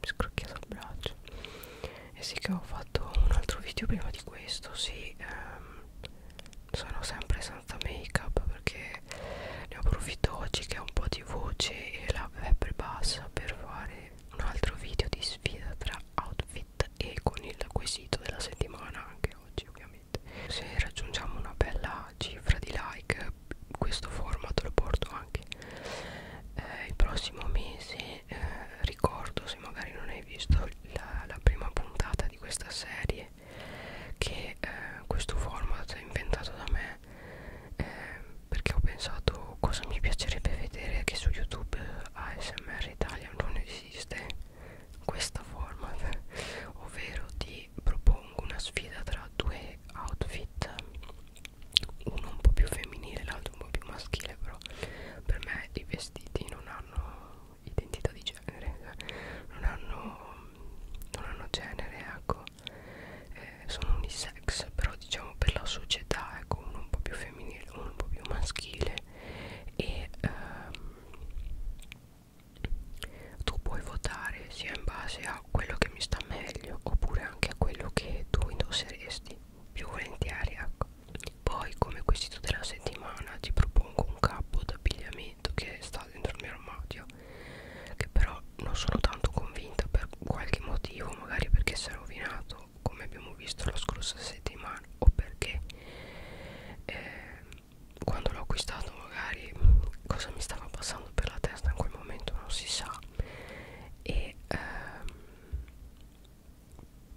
mi scrocchiato il braccio e sì che ho fatto un altro video prima di questo sì ehm, sono sempre senza make up perché ne approfitto oggi che ho un po' di voce e la web bassa per fare un altro video di sfida tra outfit e con il quesito della settimana anche oggi ovviamente se raggiungiamo una bella cifra di like questo format lo porto anche tempi eh, il prossimo mese eh, ricordo se magari non hai visto la, la prima puntata di questa serie che eh, questo format è inventato da me eh, perché ho pensato cosa mi piacerebbe vedere che su youtube ASMR Italia non esiste questa format ovvero ti propongo una sfida tra due outfit uno un po' più femminile l'altro un po' più maschile però per me i vestiti non hanno identità di genere non hanno, non hanno genere ecco eh, sono unisex però diciamo per la società ecco uno un po' più femminile uno un po' più maschile e ehm, tu puoi votare sia in base a quello che mi sta meglio oppure anche a quello che tu indosseresti più volentieri ecco poi come quesito della settimana ti propongo un capo d'abbigliamento che sta dentro il mio armadio che però non sono tanto convinta per qualche motivo magari perché si è rovinato come abbiamo visto la scorsa settimana o perché eh, quando l'ho acquistato magari cosa mi stava passando per la testa in quel momento non si sa e e ehm,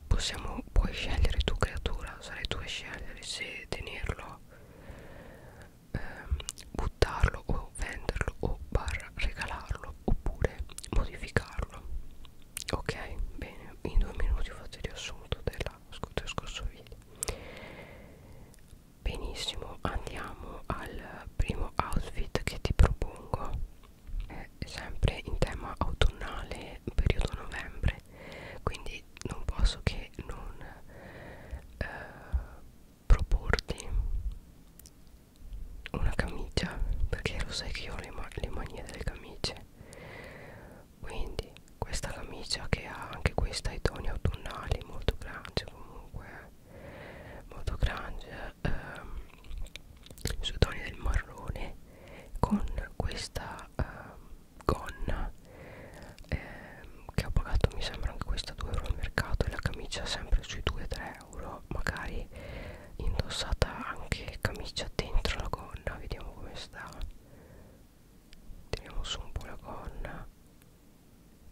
possiamo puoi scegliere tu creatura sarai tu a scegliere se tenerlo ehm, buttarlo o venderlo o barra regalarlo oppure modificarlo ok bene in due minuti ho fatto il riassunto della, del scorso video benissimo adesso andiamo al primo outfit che ti propongo è sempre in tema autunnale periodo novembre quindi non posso che non eh, proporti una camicia perché lo sai che io ho le, ma le manie delle camicie quindi questa camicia che ha anche questa i toni autunnali molto grande comunque molto grunge ehm, sui toni del marrone con questa ehm, gonna ehm, che ho pagato mi sembra anche questa 2 euro al mercato e la camicia sempre sui 2-3 euro magari indossata anche camicia dentro la gonna vediamo come sta tiriamo su un po' la gonna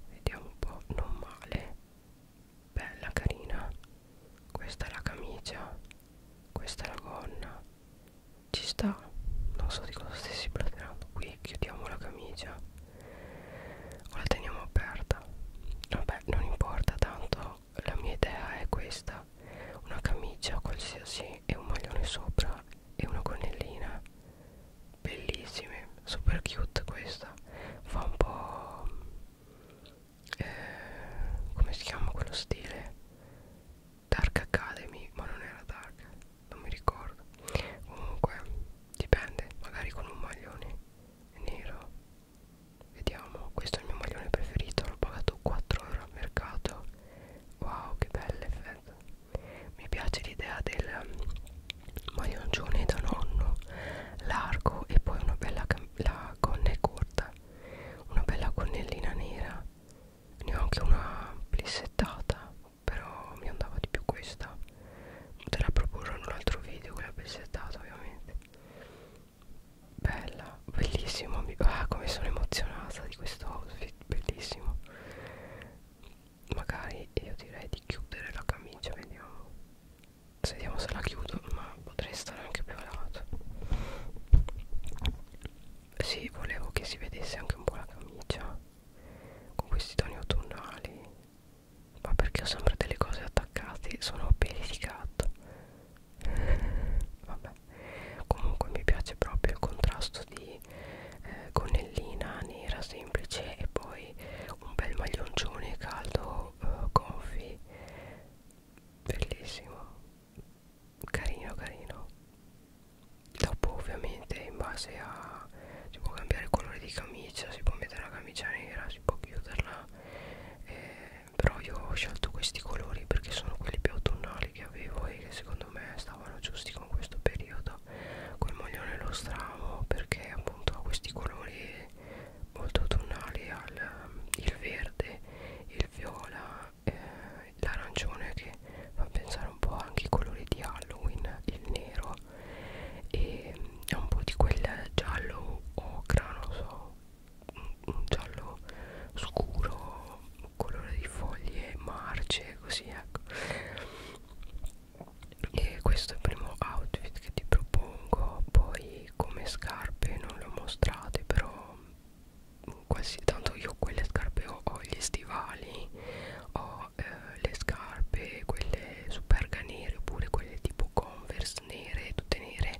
vediamo un po' non male bella carina questa è la camicia questa è la gonna ci sta non so di cosa stessi platerando qui chiudiamo la camicia o la teniamo aperta vabbè non importa tanto la mia idea è questa una camicia qualsiasi e un maglione sopra e una gonnellina bellissime super cute questa fa un po' eh, come si chiama quello stile Dark Academy ma non era Dark non mi ricordo comunque dipende magari con un maglione nero vediamo questo è il mio maglione preferito l'ho pagato 4 euro al mercato wow che belle effetto mi piace l'idea del maglioncione da nonno largo e poi una bella la gonna è corta una bella gonnellina nera ne ho anche una plissettata però mi andava di più questa te la proporrò in un altro video quella plissettata ovviamente bella bellissimo ah come sono emozionata di questo outfit bellissimo magari io direi di chiudere la camicia vediamo se vediamo se la chiudo ma potrei stare anche più a lato sì volevo che si vedesse anche un po' la camicia con questi toni autunnali ma perché ho sempre delle cose attaccate sono peli di gatto vabbè comunque mi piace proprio il contrasto di eh, gonnellina nera semplice e poi un bel maglioncione caldo uh, eh, confi bellissimo carino carino dopo ovviamente in base a si può cambiare il colore di camicia si può mettere una camicia nera si può chiuderla eh, però io ho scelto questi colori perché sono quelli più autunnali che avevo e che secondo me stavano giusti con questo periodo col maglione e lo stramo perché appunto ha questi colori molto autunnali al il verde, il viola, eh, l'arancione che fa pensare un po' anche ai colori di Halloween, il nero e un po' di quel giallo ocra, non so, un giallo scuro, un colore di foglie marce, così ecco e questo è il primo outfit che ti propongo poi come scarpe non le ho mostrate però quasi tanto io quelle scarpe ho, ho gli stivali ho eh, le scarpe quelle superga nere oppure quelle tipo converse nere tutte nere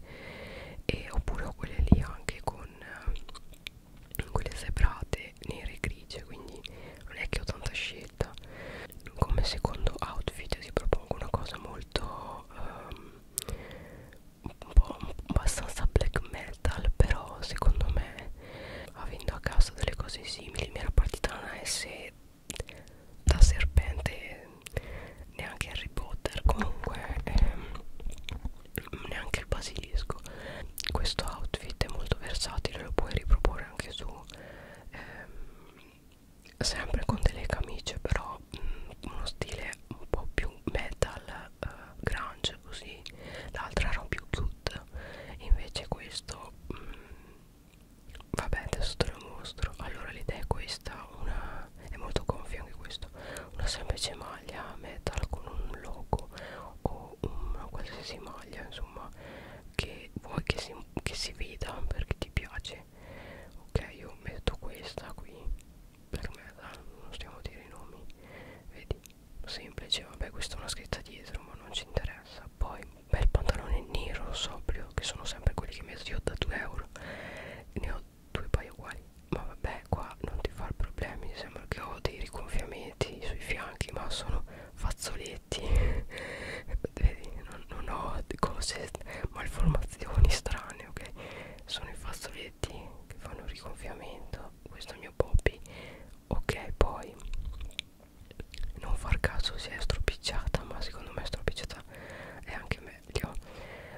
e oppure ho quelle lì anche con eh, quelle zebrate nere e grigie quindi non è che ho tanta scelta come secondo outfit ti propongo una cosa molto um, un po' abbastanza black metal però secondo me avendo a casa delle cose simili mi era partita una S da serpente neanche Harry Potter comunque ehm, neanche il basilisco questo outfit è molto versatile lo puoi riproporre anche su ehm, sempre con delle camicie però mh, mm, uno stile un po' più metal eh, grunge così l'altra era un più cute invece questo mh, mm, vabbè adesso te lo mostro allora l'idea è questa una, è molto gonfia anche questo una semplice maglia metal con un logo o una qualsiasi maglia insomma che vuoi che si, che si veda perché ti piace ok io metto questa qui per me non stiamo a dire i nomi vedi semplice vabbè questa è una scritta dietro ma non ci interessa poi bel pantalone nero sobrio che sono sempre quelli che metto io da 2 euro ne ho due paio uguali ma vabbè qua non ti far problemi sembra che ho dei rigonfiamenti sui fianchi ma sono fazzoletti paletti vedi non, non ho cose malformazioni strane ok sono i fazzoletti che fanno il rigonfiamento questo è il mio Bobby ok poi non far caso si è stropicciata ma secondo me stropicciata è anche meglio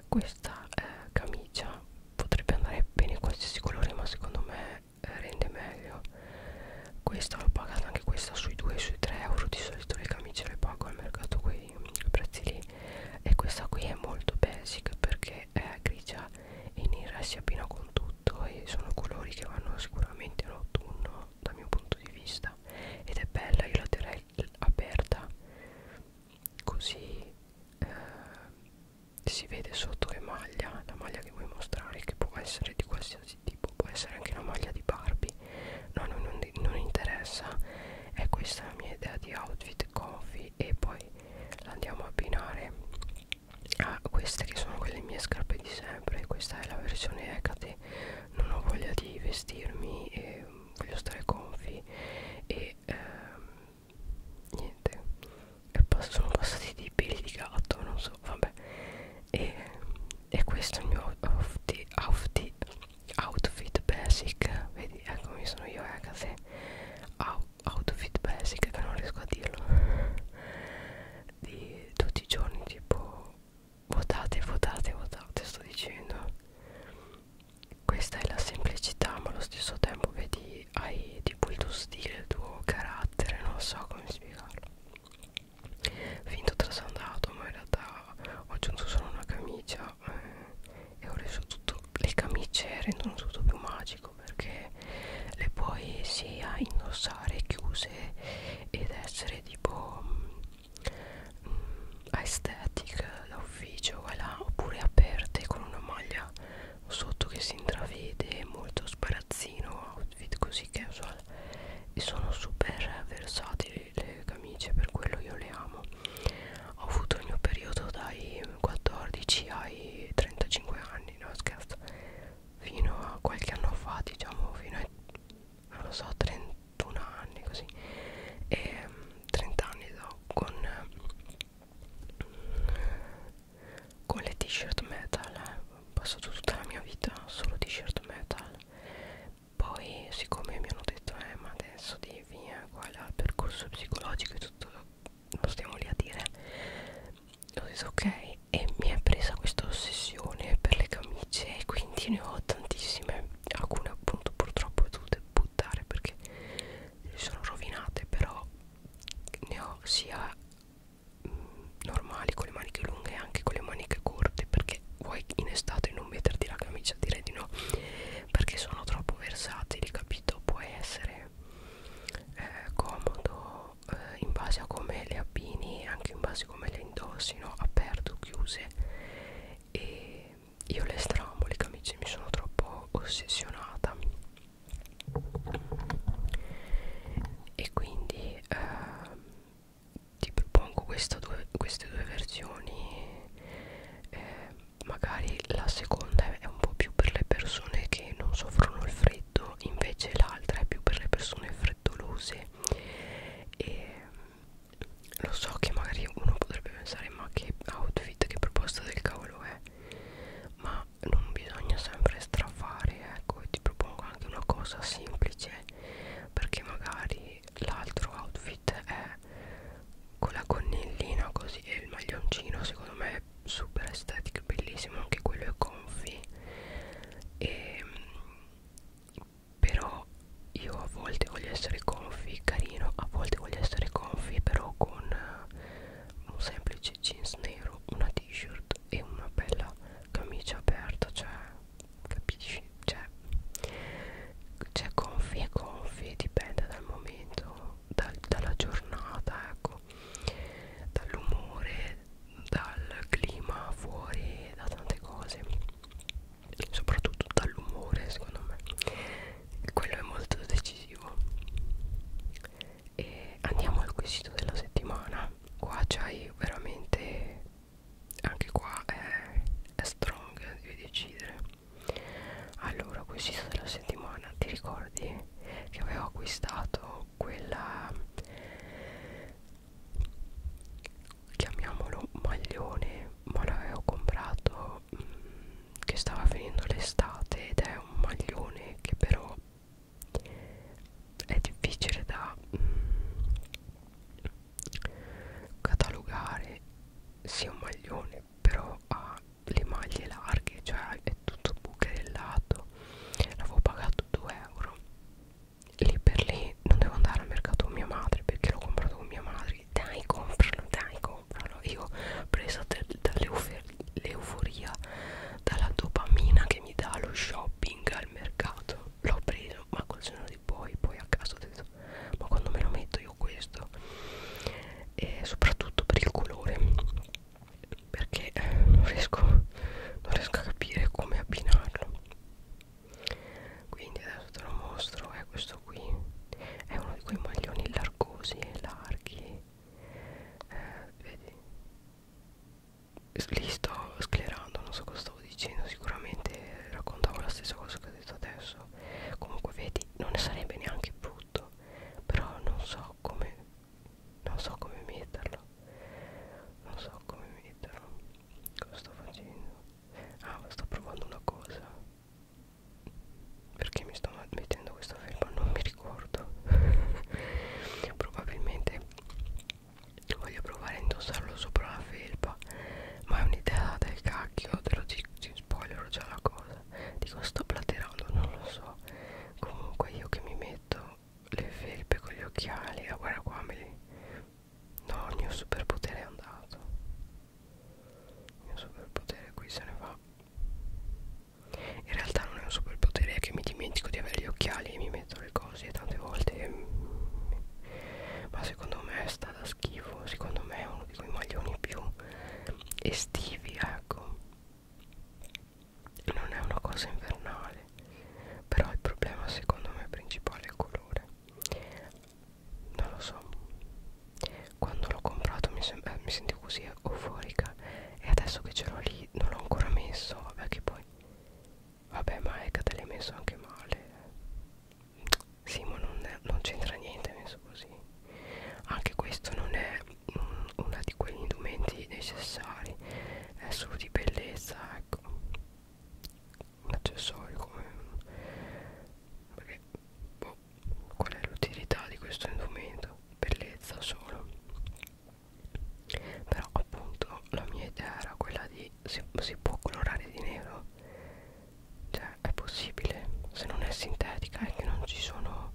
questa eh, camicia potrebbe andare bene in qualsiasi colore ma secondo me eh, rende meglio questa l'ho pagata anche questa sui 2 sui 3 euro di solito le camicie le pago al mercato quei prezzi lì e questa qui è molto basic perché è grigia e nera si abbina con tutto e sono colori che vanno sicuramente in autunno dal mio punto di vista ed è bella io la terrei aperta così eh, si vede sotto che maglia la maglia che vuoi mostrare che può essere di qualsiasi tipo può essere anche la maglia di Barbie no non, non, non interessa è questa la mia idea di outfit comfy e poi la andiamo a abbinare a queste che sono quelle mie scarpe di sempre questa è la versione Hecate non ho voglia di vestirmi e voglio stare comfy e ehm, niente pass sono passati dei peli di gatto non so vabbè e, e questo è il mio outfit, outfit, outfit basic vedi eccomi sono io ragazzi eh, Out, outfit basic che non riesco a dirlo di tutti i giorni tipo votate votate votate sto dicendo questa è la semplicità ma allo stesso tempo vedi hai, hai tipo il tuo stile, il tuo carattere, non so come spiegarlo. Finto trasandato, ma in realtà ho aggiunto solo una camicia eh, e ho reso tutto le camicie rendono tutto più magico perché le puoi sia indossare chiuse ed essere tipo mh, mm, aesthetic da ufficio voilà, oppure aperte con una maglia sotto che si intravede molto sparazzino outfit così casual e sono super versatili le camicie per quello io le amo ho avuto il mio periodo dai 14 ai 35 anni no scherzo fino a qualche anno fa diciamo fino ai non lo so 31 anni così e ehm, 30 anni so, con con le t-shirt metal eh. ho passato tutta la mia vita solo t-shirt metal poi siccome mi hanno detto eh ma adesso devi eh, qua il percorso psicologico e tutto non stiamo lì a dire ho detto ok e mi è presa questa ossessione per le camicie e quindi ne ho tantissime alcune appunto purtroppo ho dovute buttare perché si sono rovinate però ne ho sia normali con le maniche lunghe e anche con le maniche corte perché vuoi in estate non metterti la camicia direi di no perché sono troppo versatili capito puoi essere eh, comodo eh, in base a come le abbini anche in base a come le indossi no? aperto chiuse e io le stramo le camicie mi sono troppo ossessionata e quindi eh, ti propongo due, queste due versioni eh, magari la seconda è un po' più per le persone che non soffrono il freddo invece l'altra è più per le persone freddolose e ehm, lo so che magari uno potrebbe pensare ma che outfit che proposta del cavolo è ma ma non bisogna sempre strafare ecco e ti propongo anche una cosa semplice perché magari l'altro outfit è con la gonnellina così e il maglioncino secondo me è super estetico bellissimo anche quello è comfy e ehm, però io a volte voglio essere comfy carino a volte voglio essere comfy però con un semplice jeans nero, una t-shirt e una bella camicia aperta, cioè capisci? Cioè, cioè gonfie e gonfie, dipende dal momento, dal, dalla giornata, ecco, dall'umore, dal clima fuori, da tante cose, soprattutto dall'umore secondo me, quello è molto decisivo e andiamo al quesito della settimana qua c'hai veramente anche qua è, è strong devi decidere allora quesito della settimana ti ricordi che avevo acquistato quella chiamiamolo maglione ma l'avevo comprato che stava finendo l'estate ed è un maglione che però è difficile da catalogare sia un maglione però ha le maglie larghe cioè è tutto bucherellato l'avevo pagato 2 euro lì per lì non devo andare al mercato con mia madre perché l'ho comprato con mia madre dai compralo dai compralo comprano io presa dall'euforia dalla dopamina che mi dà lo shopping al mercato l'ho preso ma col giorno di poi poi a caso ho detto ma quando me lo metto io questo e soprattutto per il colore perché eh, non riesco non riesco a capire come abbinarlo quindi adesso te lo mostro è eh, questo qui è uno di quei maglioni largosi e larghi eh, vedi li sto sclerando non so cosa stavo dicendo sicuramente raccontavo la stessa cosa che ho detto adesso comunque vedi non ne sarebbe neanche brutto però non so come non so come metterlo non so come metterlo cosa sto facendo ah sto provando una cosa perché mi sto mettendo questa felpa non mi ricordo probabilmente voglio provare a indossarlo sopra la felpa ma è un'idea del cacchio te lo dico spoiler già la cosa dico sto platerando non lo so comunque io che mi metto le felpe con gli occhiali ah guarda qua me li no il mio superpotere è andato il mio superpotere qui se ne va in realtà non è un superpotere è che mi dimentico di avere gli occhiali e mi metto le cose e tante volte ma secondo me sta da schifo secondo me è uno di quei maglioni più estivi ecco non è una cosa invernale però il problema secondo me principale è il colore non lo so quando l'ho comprato mi, eh, mi sentivo così euforica e adesso che ce l'ho lì non l'ho ancora messo vabbè che poi vabbè ma è che te l'hai messo anche male sì ma non, non c'entra niente messo così anche questo non è un, uno di quegli indumenti necessari è solo di bellezza ecco un accessorio come perché boh, qual è l'utilità di questo indumento? Bellezza solo. Però appunto la mia idea era quella di si, si può colorare di nero? Cioè è possibile, se non è sintetica è che non ci sono,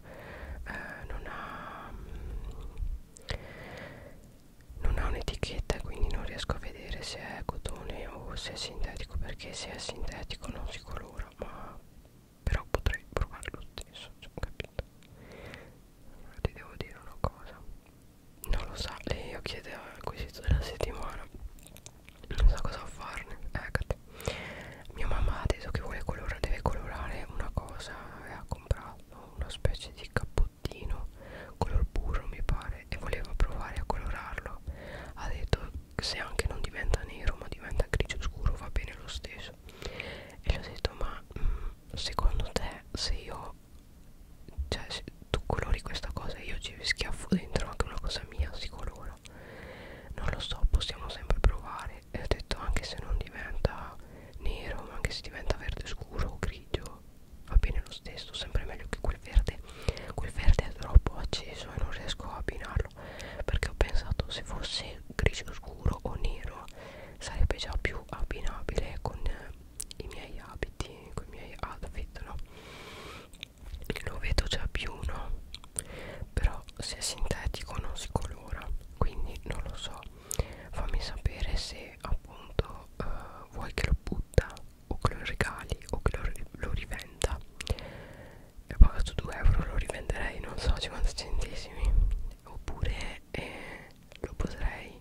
eh, non ha... Mm, non ha un'etichetta quindi non riesco a vedere se è cotone o se è sintetico perché se è sintetico non si colora ma però potrei provare lo stesso cioè, capito allora ti devo dire una cosa non lo sa so, io chiedo al quesito della settimana non so cosa farne eccati eh, mia mamma ha detto che vuole colorare deve colorare una cosa e ha comprato una specie di cappottino color burro mi pare e voleva provare a colorarlo ha detto se anche non diventa nero ma diventa grigio scuro va bene lo stesso e gli ho detto ma mh, mm, secondo te se io cioè se tu colori questa cosa e io ci schiaffo dentro anche una cosa mia si colora non lo so possiamo sempre provare e ho detto anche se non diventa nero ma anche se diventa verde scuro o grigio va bene lo stesso sempre meglio che quel verde quel verde è troppo acceso e non riesco a abbinarlo farlo perché ho pensato se fosse grigio scuro o nero sarebbe già più abbinabile con eh, i miei abiti con i miei outfit no lo vedo già più no però se è sintetico non si colora quindi non lo so fammi sapere se appunto eh, vuoi che lo butta o che lo regali o che lo, lo rivenda e ho pagato 2 euro lo rivenderei non so 50 centesimi oppure eh, lo potrei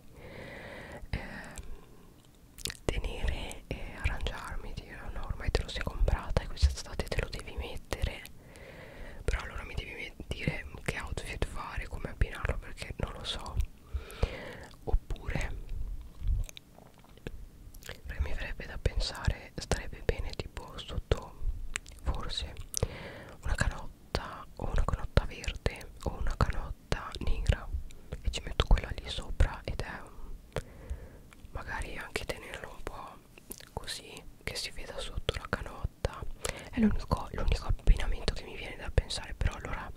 eh, tenere e arrangiarmi dire no ormai te lo sei comprata e quest'estate te lo devi mettere però allora mi devi dire che outfit fare come abbinarlo perché non lo so oppure perché mi verrebbe da pensare starebbe bene tipo sotto forse una canotta o una canotta verde o una canotta nera e ci metto quella lì sopra ed è un, magari anche tenerlo un po' così che si veda sotto la canotta è l'unico abbinamento che mi viene da pensare però allora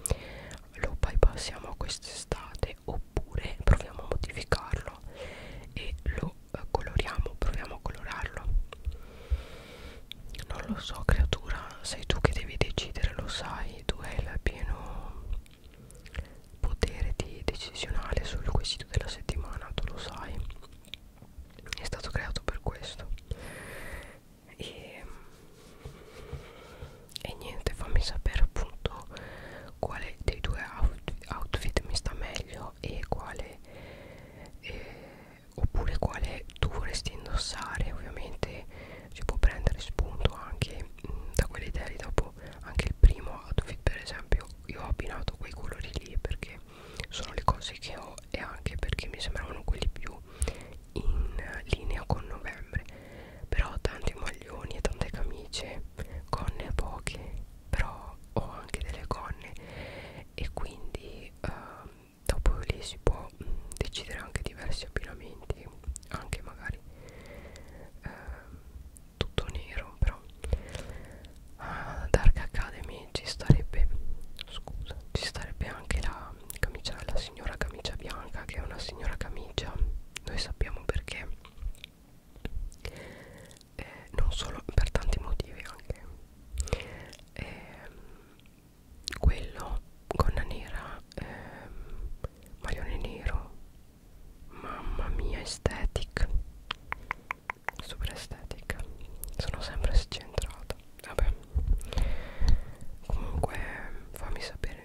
lo bypassiamo quest'estate oppure proviamo a modificarlo e lo eh, coloriamo proviamo a colorarlo non lo so creatura sei tu che devi decidere lo sai tu hai il pieno potere di decisionale sul quesito della settimana tu lo sai è stato creato per questo e e niente fammi sapere appunto quale dei due outfit mi sta meglio e quale eh, oppure quale tu vorresti indossare ovviamente si può prendere spunto anche mh, mm, da quelle idee lì dopo anche il primo outfit per esempio io ho abbinato quei colori lì perché sono le cose che ho e anche perché mi sembravano quelli più in linea con novembre però ho tanti maglioni e tante camicie gonne poche però ho anche delle gonne e quindi uh, dopo lì si può mh, mm, decidere anche diversi abbinamenti anche magari uh, tutto nero però uh, Dark Academy ci starebbe scusa ci starebbe anche la camicia la signora camicia bianca che è una signora camicia noi sappiamo perché eh, non solo per tanti motivi anche eh, quello gonna nera eh, maglione nero mamma mia aesthetic super estetica sono sempre scentrata vabbè comunque fammi sapere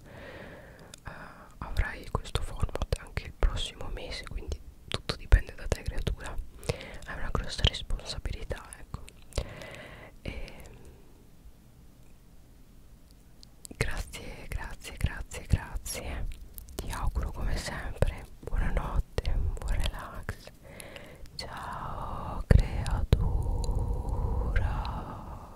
gennaio eh, avrai questo format anche il prossimo mese quindi tutto dipende da te creatura hai una grossa responsabilità ecco e grazie grazie grazie grazie ti auguro come sempre buonanotte un buon relax ciao creatura